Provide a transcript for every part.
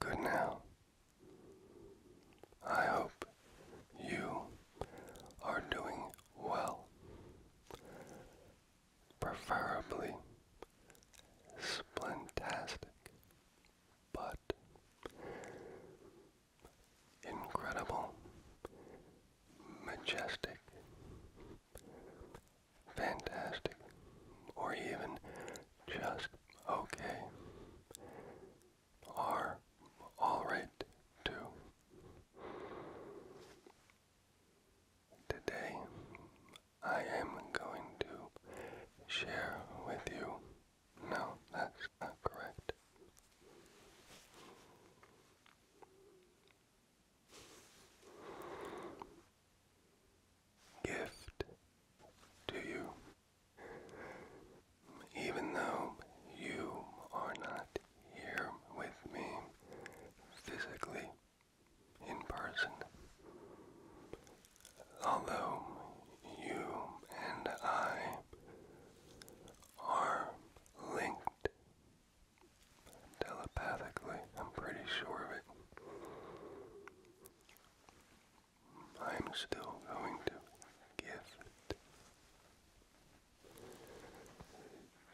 Good now. I hope you are doing well, preferably splentastic, but incredible, majestic, fantastic, or even just okay are alright too. Today I am going to share with you. No, that's not correct. Gift to you. Even though you are not here with me physically in person, although you and I are linked telepathically, I'm pretty sure of it. I'm still going to gift to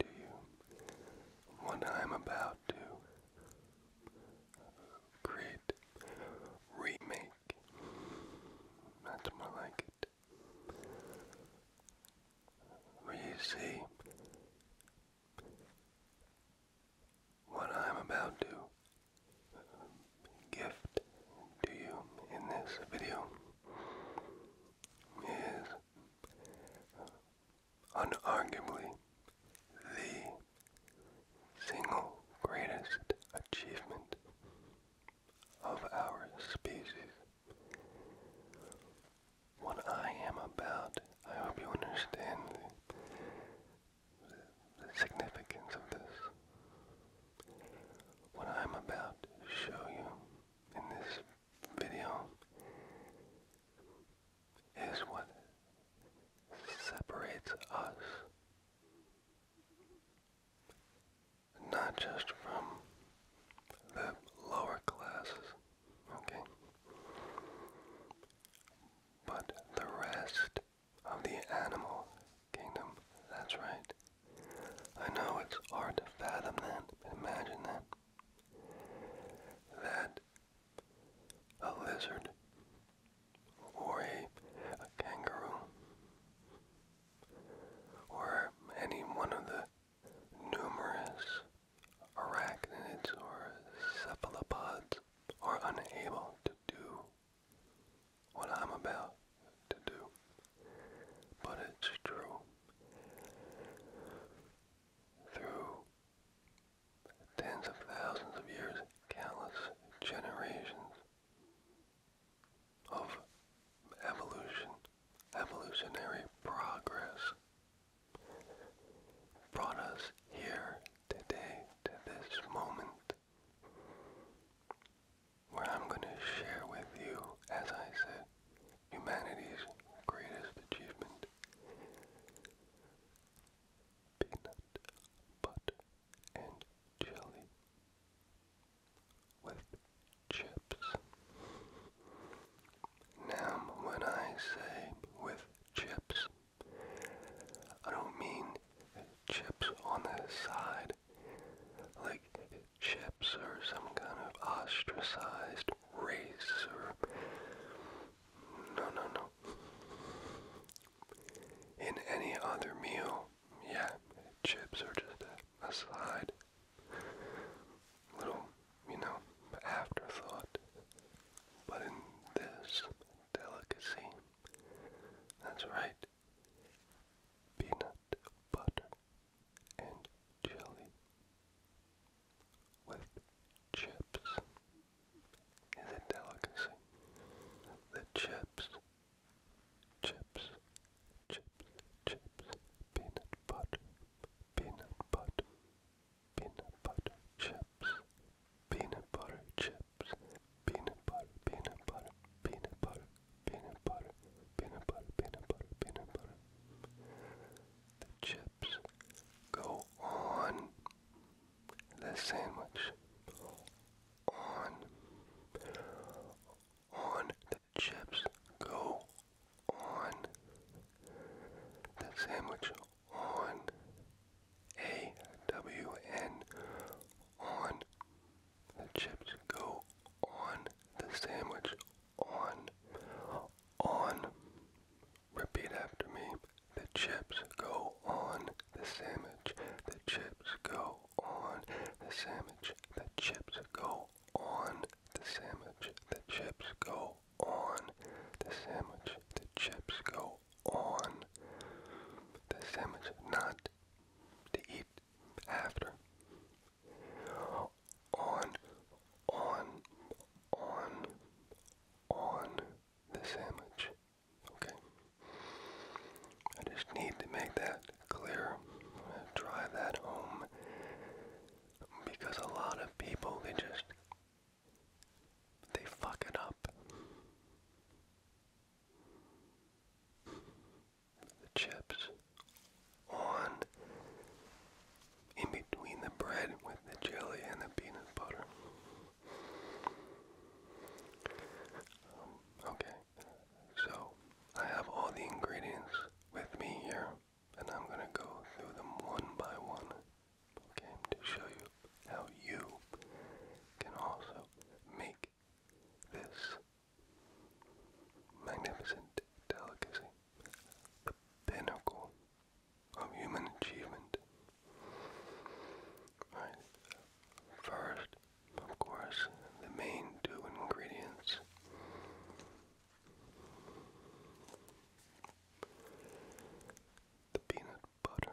you what I'm about to create, remake. That's more like it. Where you see what I'm about to gift to you in this video is unarguably the single greatest achievement of our species. What I am about, I hope you understand the significance of this. What I'm about to show you in this video is what separates us not just from the lower classes, okay, but the rest of the animal kingdom. That's right. I know it's hard to fathom that, but imagine that. That a lizard or a kangaroo or any one of the numerous arachnids or cephalopods are unable to do what I'm about to do, but it's true. Through tens of thousands of years, countless generations of evolution, evolutionary progress brought us here today to this moment where I'm going to share with you, as I said, humanity's greatest achievement peanut butter and jelly with chips. Now, when I say with chips, I don't mean chips on the side, like chips or some kind of ostracized race or no, no, no. In any other meal, yeah, chips are just a side, little, you know, afterthought. But in this delicacy, that's right, peanut butter and jelly with chips is delicacy. The chips, chips, chips, chips, peanut butter, peanut butter, peanut butter chips, peanut butter chips chips, peanut butter, peanut butter, peanut butter, peanut butter, peanut butter, peanut butter, peanut butter. The chips go on the sandwich. On, on the chips go on the sandwich. On, A W N, on the chips go on the sandwich. On. On. Repeat after me. The chips go on the sandwich. The chips go on the sandwich. The chips go on the sandwich. The chips go on the sandwich. The chips go on the sandwich. Not to eat after. On, on, on, on the sandwich. Okay. I just need to make that clear. drive that home because a lot of people they just they fuck it up the chips on in between the bread with the jelly and the peanut butter. Um, okay, so I have all the ingredients with me here, and I'm gonna go through them one by one, okay, to show you how you can also make this magnificent delicacy, the pinnacle of human achievement. First, of course, the main two ingredients the peanut butter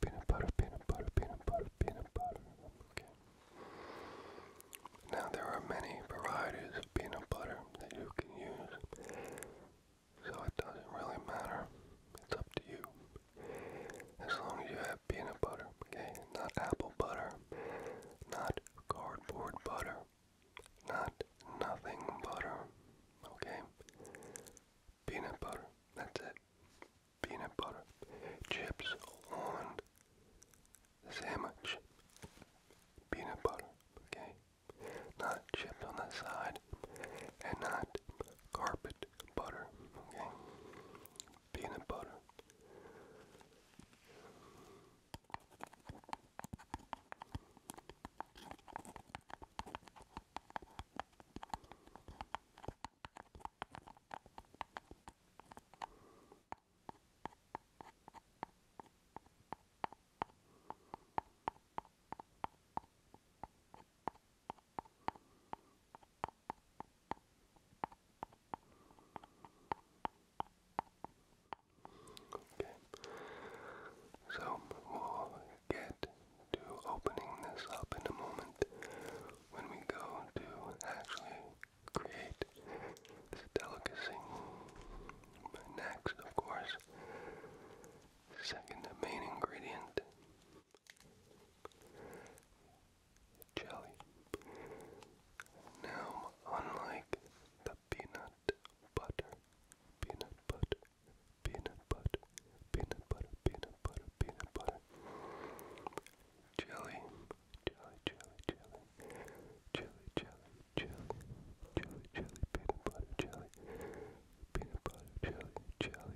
Peanut butter, peanut butter, peanut butter, peanut butter. Okay. Now there are many varieties of peanut butter that you can use. So it doesn't really matter. It's up to you. As long as you have peanut butter, okay? Not apple butter, not cardboard butter, not nothing butter, okay? Peanut butter. That's it. Peanut butter, chips on the sandwich. Peanut butter, okay? Not chips on that side and not carpet butter, okay? Peanut butter. Okay, so we'll get to opening this up in a moment when we go to actually create this delicacy. Next, of course, second main ingredient jelly. Now, unlike the peanut butter, peanut butter peanut butter, peanut butter, peanut butter, peanut butter, jelly, jelly, jelly, jelly, jelly, jelly, jelly, jelly, jelly, peanut butter, jelly, peanut butter, jelly, jelly,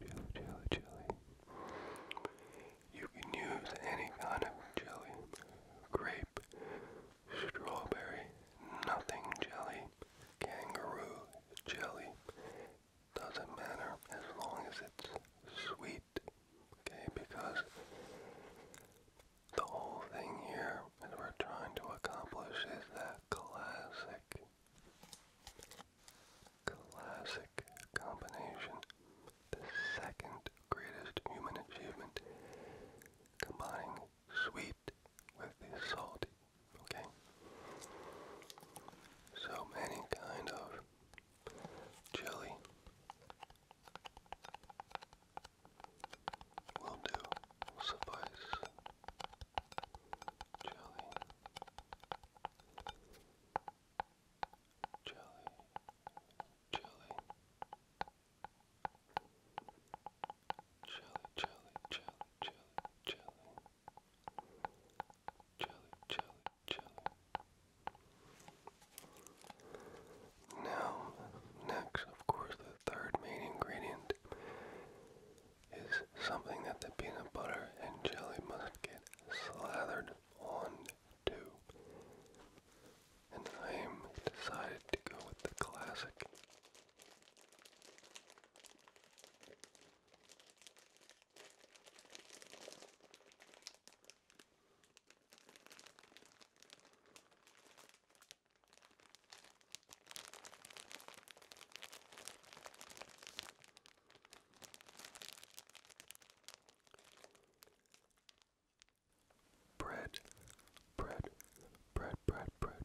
jelly, jelly, jelly. You can use any kind of jelly, grape, strawberry, nothing jelly kangaroo jelly. Doesn't matter as long as it's sweet, okay? Because the whole thing here that we're trying to accomplish is that classic, classic combination. The second greatest human achievement combining sweet with the salty, okay? So any kind of jelly will do, suffice. Jelly. Jelly. Jelly. Jelly, jelly, jelly, jelly, jelly. Jelly, jelly, jelly. Now, next, of course, the third main ingredient is something that the peanut butter and jelly must get slathered on to. And I am decided to go with the classic Bread, bread, bread, bread, bread,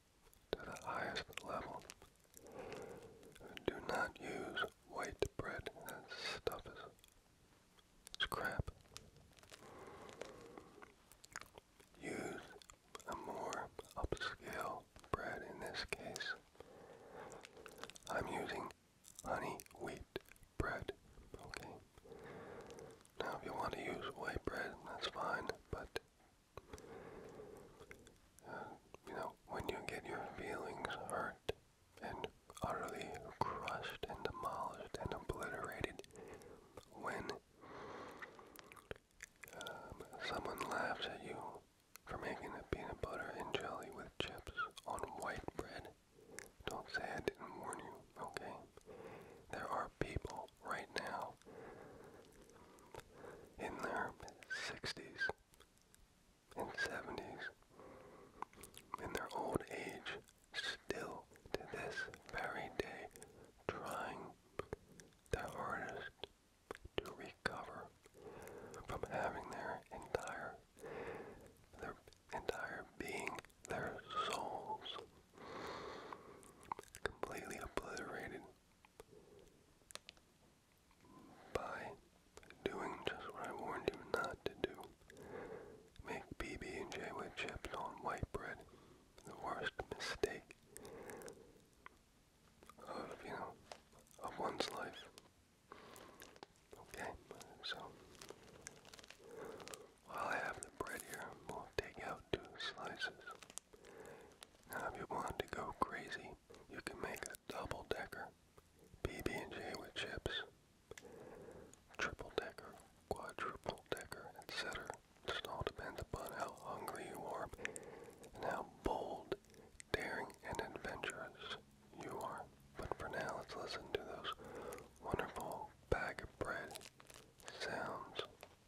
to the highest level. Do not use white bread. That stuff is crap. Use a more upscale bread in this case. I'm using honey wheat bread. Okay. Now if you want to use white bread, that's fine, but you know, when you get your feelings hurt and utterly crushed and demolished and obliterated, when um, someone laughs at you for making a peanut butter and jelly with chips on white bread, don't say I didn't warn you, okay? There are people right now in their 60s and 70s, in their old age, still to this very day, trying their hardest to recover from having their entire their entire being, their souls completely obliterated by doing just what I warned you not to do. Make PB&J with chips on white bread. The worst mistake of, you know, of one's life. Okay, so while I have the bread here, we'll take out two slices. Now, if you want to go crazy, you can make a double-decker PB&J with chips, triple-decker, quadruple-decker, etc. Just all depends upon how hungry you are and how bold, daring, and adventurous you are. But for now, let's listen to those wonderful bag of bread sounds.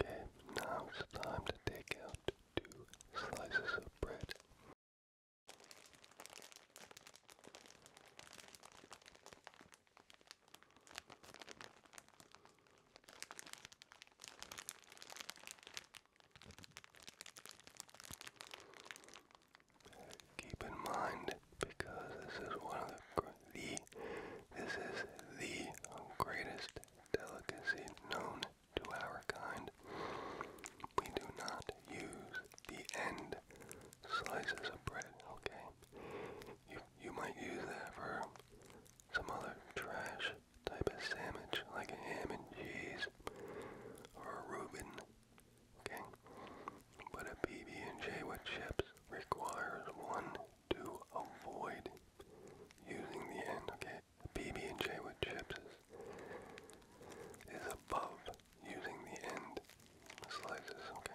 Okay, now it's time to take out two slices of bread. Keep in mind, because this is one of the the this is the greatest delicacy known to our kind. We do not use the end slices of bread, okay? You you might use that for some other trash type of sandwich like a ham and cheese or a Reuben, okay? But a PB and J with chips requires one to avoid using the end, okay? PB&J with chips is above using the end slices, okay?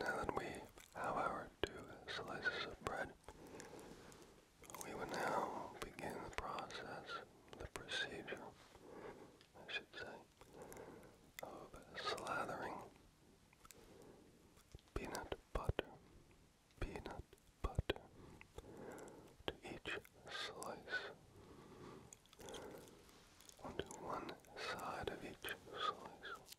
Now that we have our two slices of bread, we will now begin the process, the procedure, I should say, of slathering peanut butter, peanut butter to each slice, onto one side of each slice.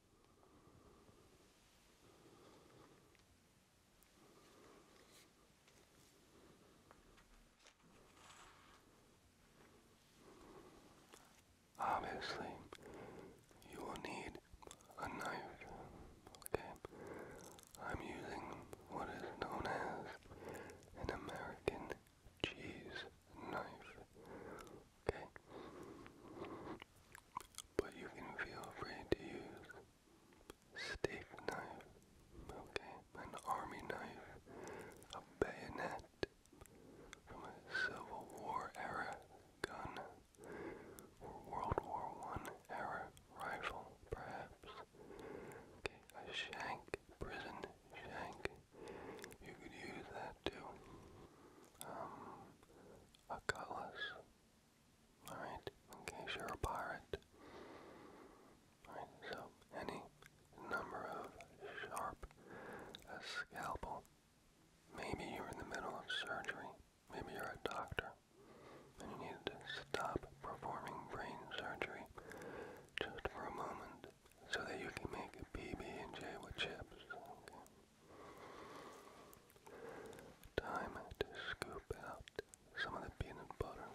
Obviously, you will need a knife. Okay, I'm using what is known as an American cheese knife. Okay, but you can feel free to use steak knife, okay, an army knife, a bayonet from a Civil War era gun or World War One era rifle, perhaps. a shank, prison shank. You could use that too. Um, a cutlass, Alright, in case you're a pirate. Alright, so any number of sharp scalpel. Maybe you're in the middle of surgery. Maybe you're a doctor and you need to stop performing brain surgery just for a moment so that you can make PB&J with chips. Time to scoop out some of the peanut butter.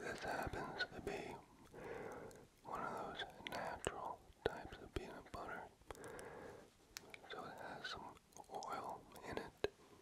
This happens to be one of those natural types of peanut butter, so it has some oil in it.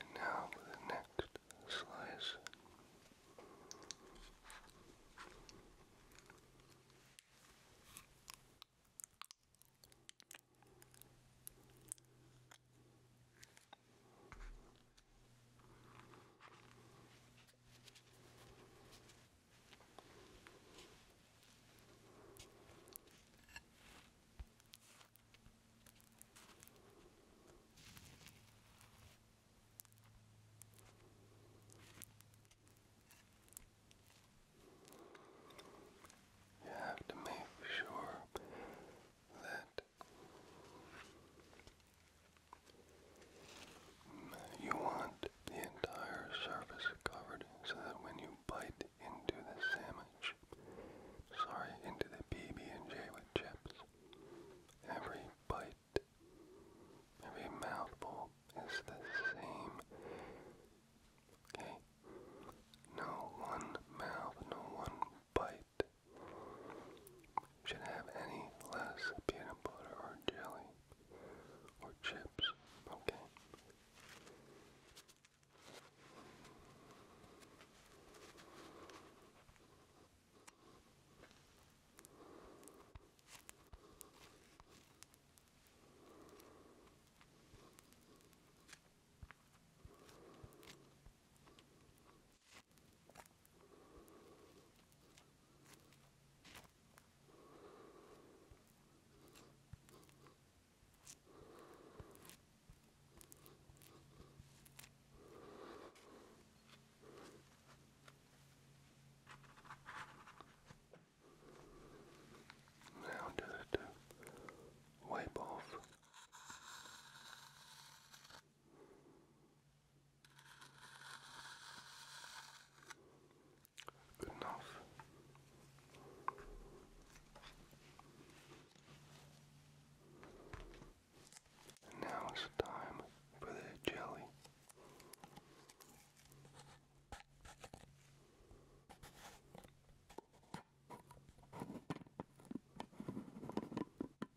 And now with the next slice. You have to make sure that you want the entire surface covered so that when you bite into the sandwich, sorry, into the PB&J with chips, every bite, every mouthful is the same. Okay? No one mouth, no one bite should have any less peanut butter or jelly or chips, okay? Now just to wipe off Good enough. now it's time for the jelly.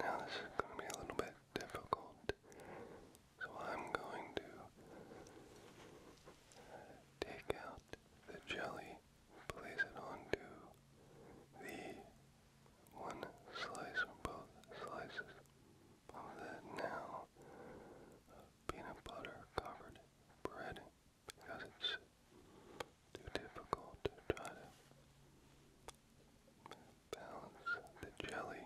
Now this is going to be a little bit difficult, so I'm going to take out the jelly, place it onto the one slice or both slices of that now peanut butter covered bread because it's too difficult to try to balance the jelly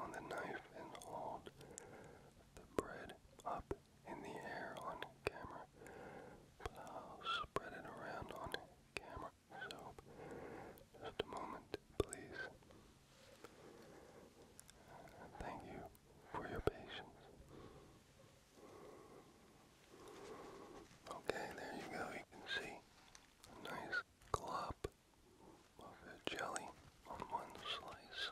on the knife and hold the bread up in the air on camera. But I'll spread it around on camera. So, just a moment, please. Thank you for your patience. Okay, there you go. You can see a nice glop of jelly on one slice.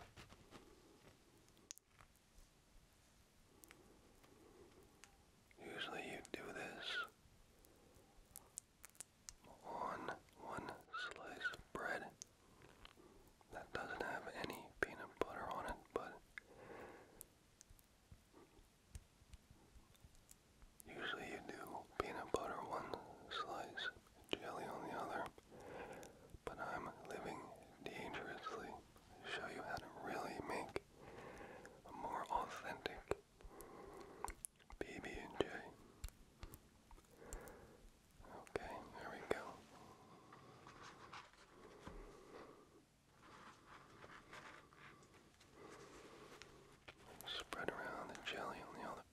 Usually you do this on one slice of bread that doesn't have any peanut butter on it, but Usually you do peanut butter one slice, jelly on the other, but I'm living dangerously show you how to really make more authentic PB&J. Okay, there we go. Spread around the jelly on the olive.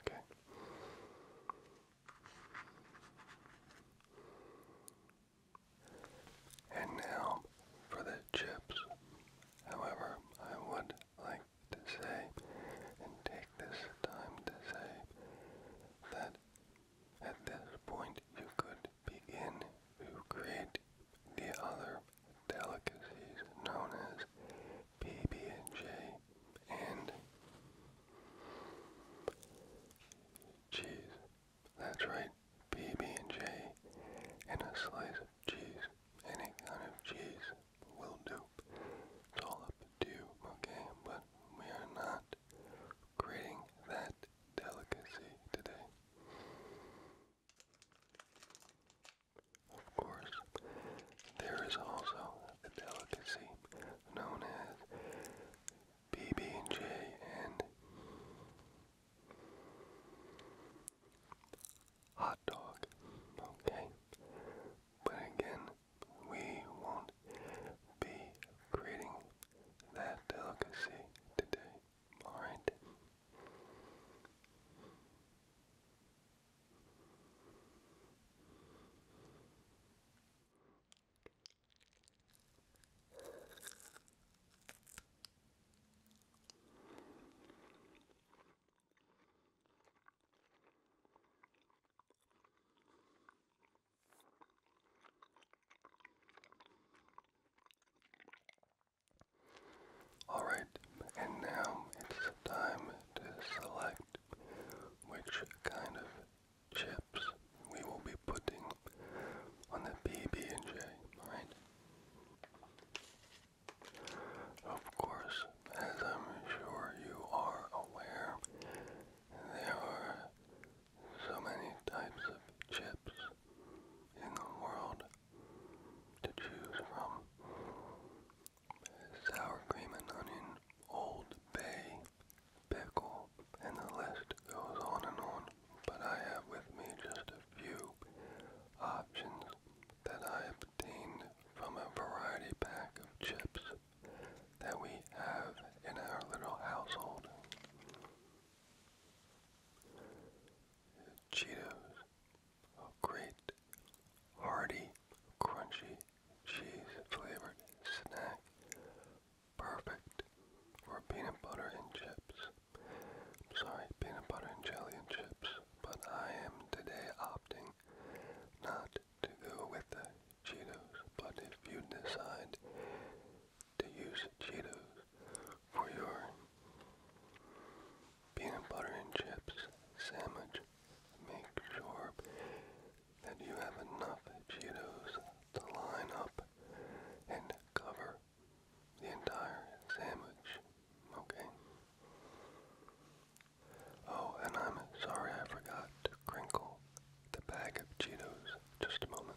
Okay. And now for the chips. However, I would like to say and take this time to say that at this point you could begin to create the other delicacies known as PB&J and cheese. That's right. BBJ and a slice of cheese. Any kind of cheese will do. It's all up to you, okay? But we are not creating that delicacy today. Of course, there is also the delicacy known as BBJ and hot dog, okay? But again, we won't be creating that delicacy today, alright? Alright, and now it's time to select which kind of chips we will be putting on the PB&J, alright? Of course, as I'm sure you are aware, there are so many types of chips in the world to choose from. Sour cream and onion, Old Bay, pickle, and the list goes on and on but I have with me just a few options that I obtained from a variety pack of chips that we have in our little household. Cheetos, a great hearty, crunchy, cheese-flavored snack, perfect for peanut butter and chips sorry, peanut butter and jelly and chips, but I am today opting not to go with the Cheetos. But if you decide to use Cheetos for your peanut butter and chips sandwich, make sure that you have enough Cheetos to line up and cover the entire sandwich, okay? Oh, and I'm sorry I forgot to crinkle the bag of Cheetos. Just a moment.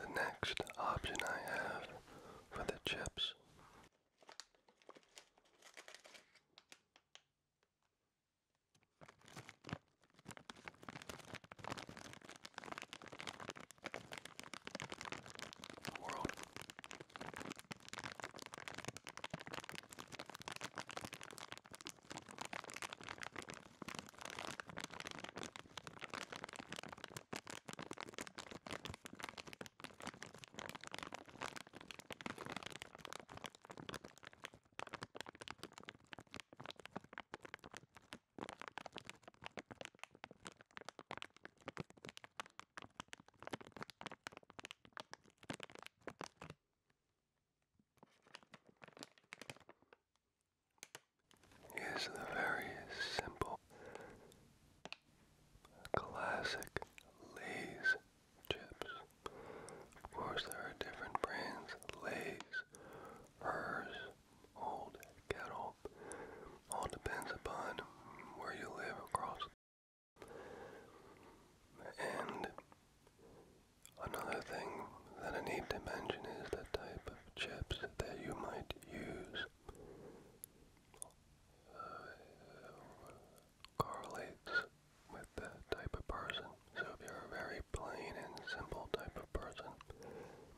The next option I have for the chips the world is the very simple classic Lay's chips. Of course, there are different brands Lay's, Hers, old cattle. All depends upon where you live across. And another thing that I need to mention is the type of chips that you might use. Uh, correlates with the type of person. So if you're a very plain and simple type of person,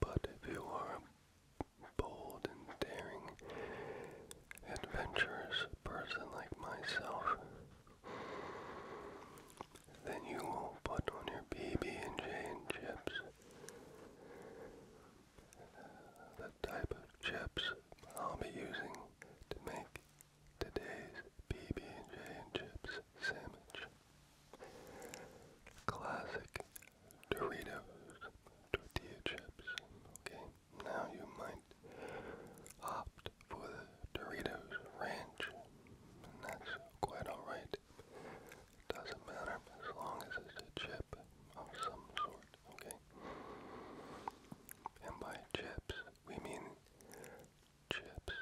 But if you are a bold and daring adventurous person like myself, then you will put on your PB and J and chips. The type of chips I'll be using to make today's PB and J and chips sandwich. Classic Doritos tortilla chips. Okay, now you might opt for the Doritos Ranch, and that's quite alright. Doesn't matter as long as it's a chip of some sort, okay? And by chips, we mean chips,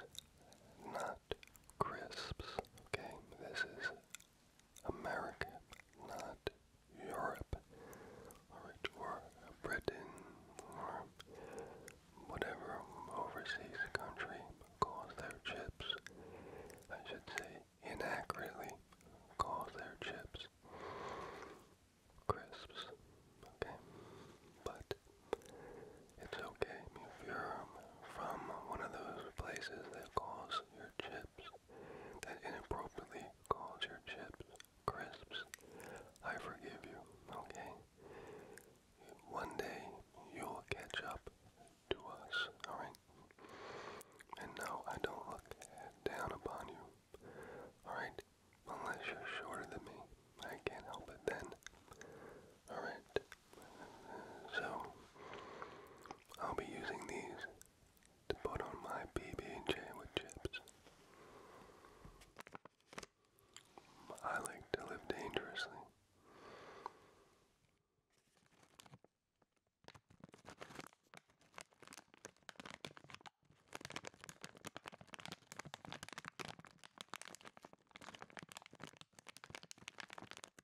not crisps. Okay, this is America, not Europe, or Britain, or whatever overseas country calls their chips. I should say inaccurately calls their chips crisps. Okay, but it's okay if you're um, from one of those places that calls your chips, that inappropriately calls your chips crisps. I forgive you, okay? One day you'll catch up to us, alright? And now I don't look down upon you, alright? Unless you're shorter than me, I can't help it then. Alright, so, I'll be using these to put on my PB&J with chips. I like to live dangerously.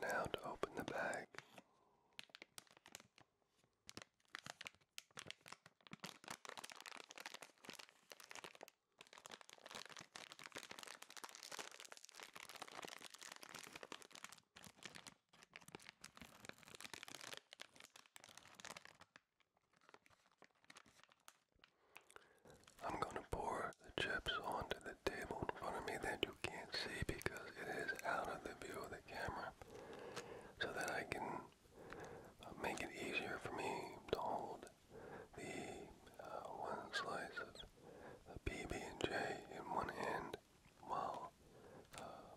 Now to open the bag. I'm going to pour the chips onto the table in front of me that you can't see because it is out of the view of the camera so that I can uh, make it easier for me to hold the uh, one slice of uh, PB&J in one hand while uh,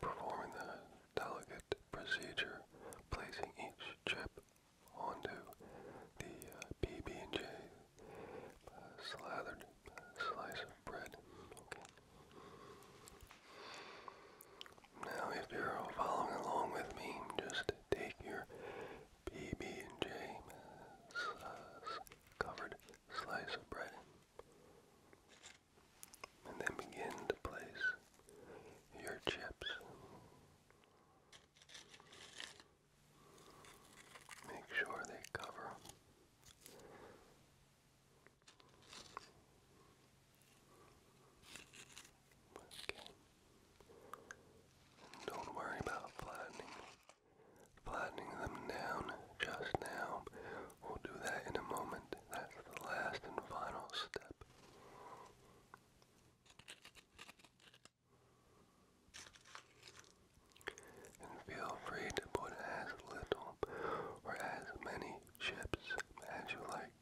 performing the delicate procedure placing each chip onto the PB&J uh, uh, slathered uh, slice of bread. Okay. Now, if you're following along with me, just take your PB&J covered slice of bread and then begin to place your chips Make sure they cover. Okay. don't worry about flattening. Flattening them down just now. We'll do that in a moment. That's the last and final step. And feel free to put as little or as many chips as you like.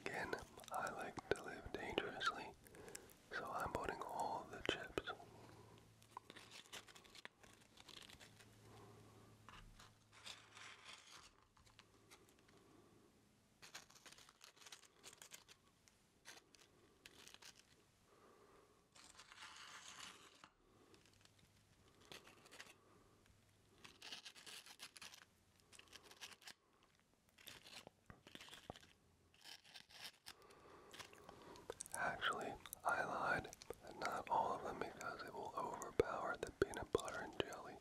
Again, I like to live dangerously, so I'm putting all the chips. Actually, I lied. Not all of them because it will overpower the peanut butter and jelly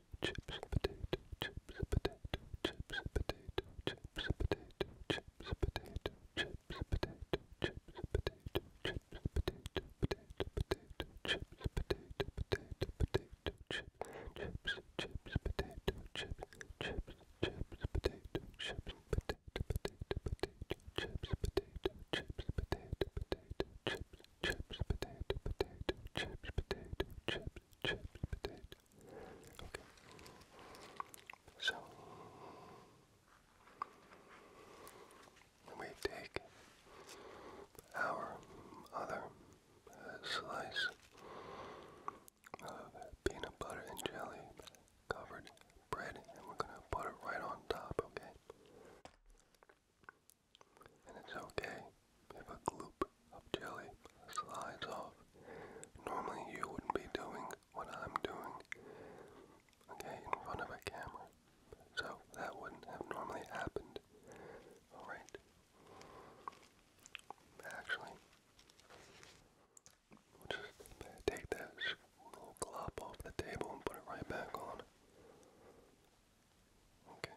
chips, potato, chips, potato, chips, potato, chips, potato, chips, potato, chips, potato, chips, potato, chips, potato, potato, potato, chips, potato, potato, potato, chips, chips, chips, potato, chips, chips, chips, potato, chips, potato, potato, potato, chips, potato, chips, potato, potato, chips chips, chips, potato, potato, chips, potato, chips, chips, potato. Okay. So we take our other uh, slice of peanut butter and jelly covered bread and we're going to put it right on top, okay? And it's okay if a gloop of jelly slides off. Normally you wouldn't be doing what I'm doing, okay, in front of a camera. So that wouldn't have normally happened. Alright. Actually, just take that little glop off the table and put it right back on. Okay.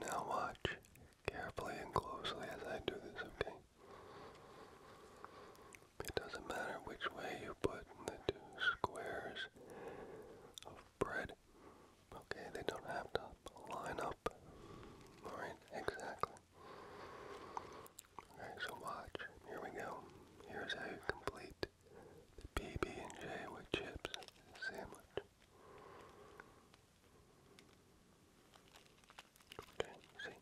now watch carefully and closely as I do this, okay? It doesn't matter which way you put the two squares of bread. Okay, they don't have to line up. Alright, exactly. Okay, so watch. Here we go. Here's how you complete the PB&J with chips sandwich. Okay, see?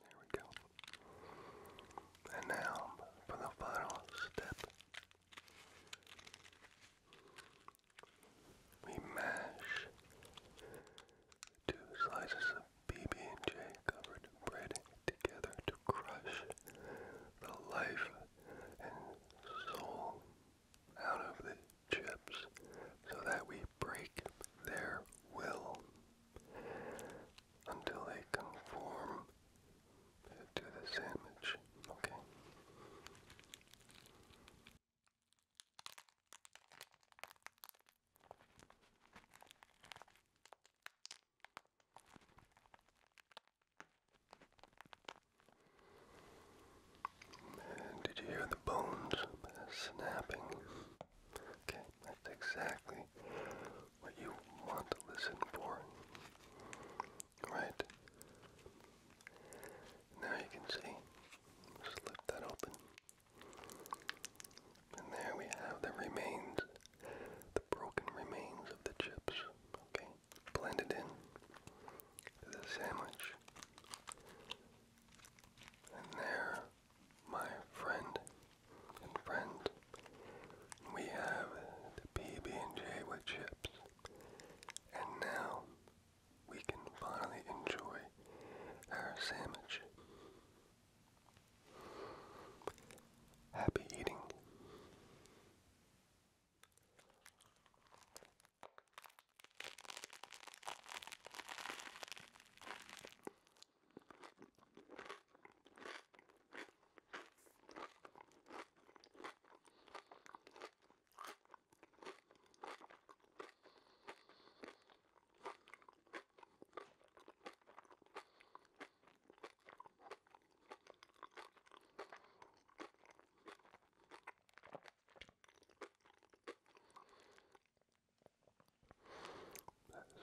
There we go. And now for the final step. We mash two slices of PB&J covered bread together to crush the life and soul out of the chips so that we break their will until they conform to the sandwich. Okay did you hear the bones snapping? Okay, that's exactly what you want to listen for. Right? Now you can see. Just lift that open. And there we have the remains the broken remains of the chips, okay, blended in the sandwich. And there, my friend and friend, we have the PB&J with chips. And now, we can finally enjoy our sandwich. Happy eating.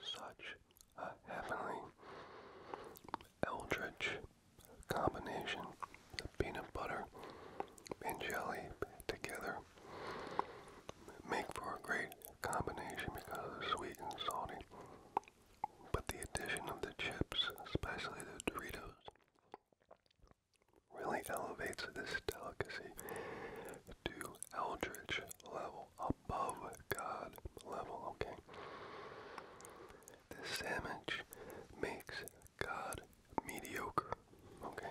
Such a heavenly eldritch combination of peanut butter and jelly together make for a great combination because of the sweet and salty but the addition of the chips, especially the Doritos, really elevates this delicacy to eldritch level, above God level, okay? This sandwich makes God mediocre, okay?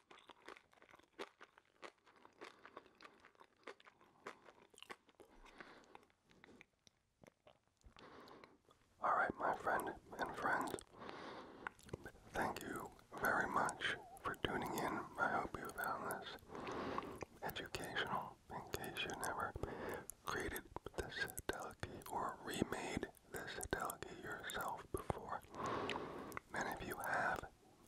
Alright, my friend and friends, thank you very much for tuning in. I hope you found this educational in case you never created this delegate or remade this delegate yourself before. And if you have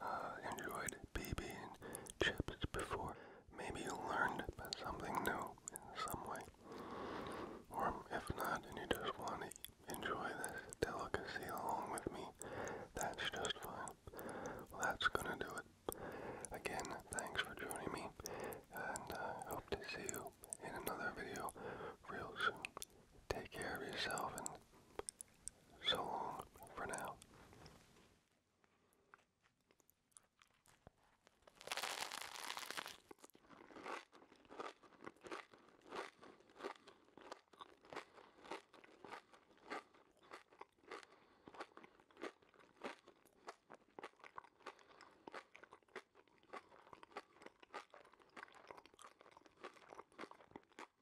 uh, enjoyed BB and chips before. Maybe you learned something new in some way. Or if not, and you just want to enjoy this delicacy along with me, that's just fine. that's gonna do it. Again, thanks for joining me, and I uh, hope to see you in another video real soon. Take care of yourself and so long for now.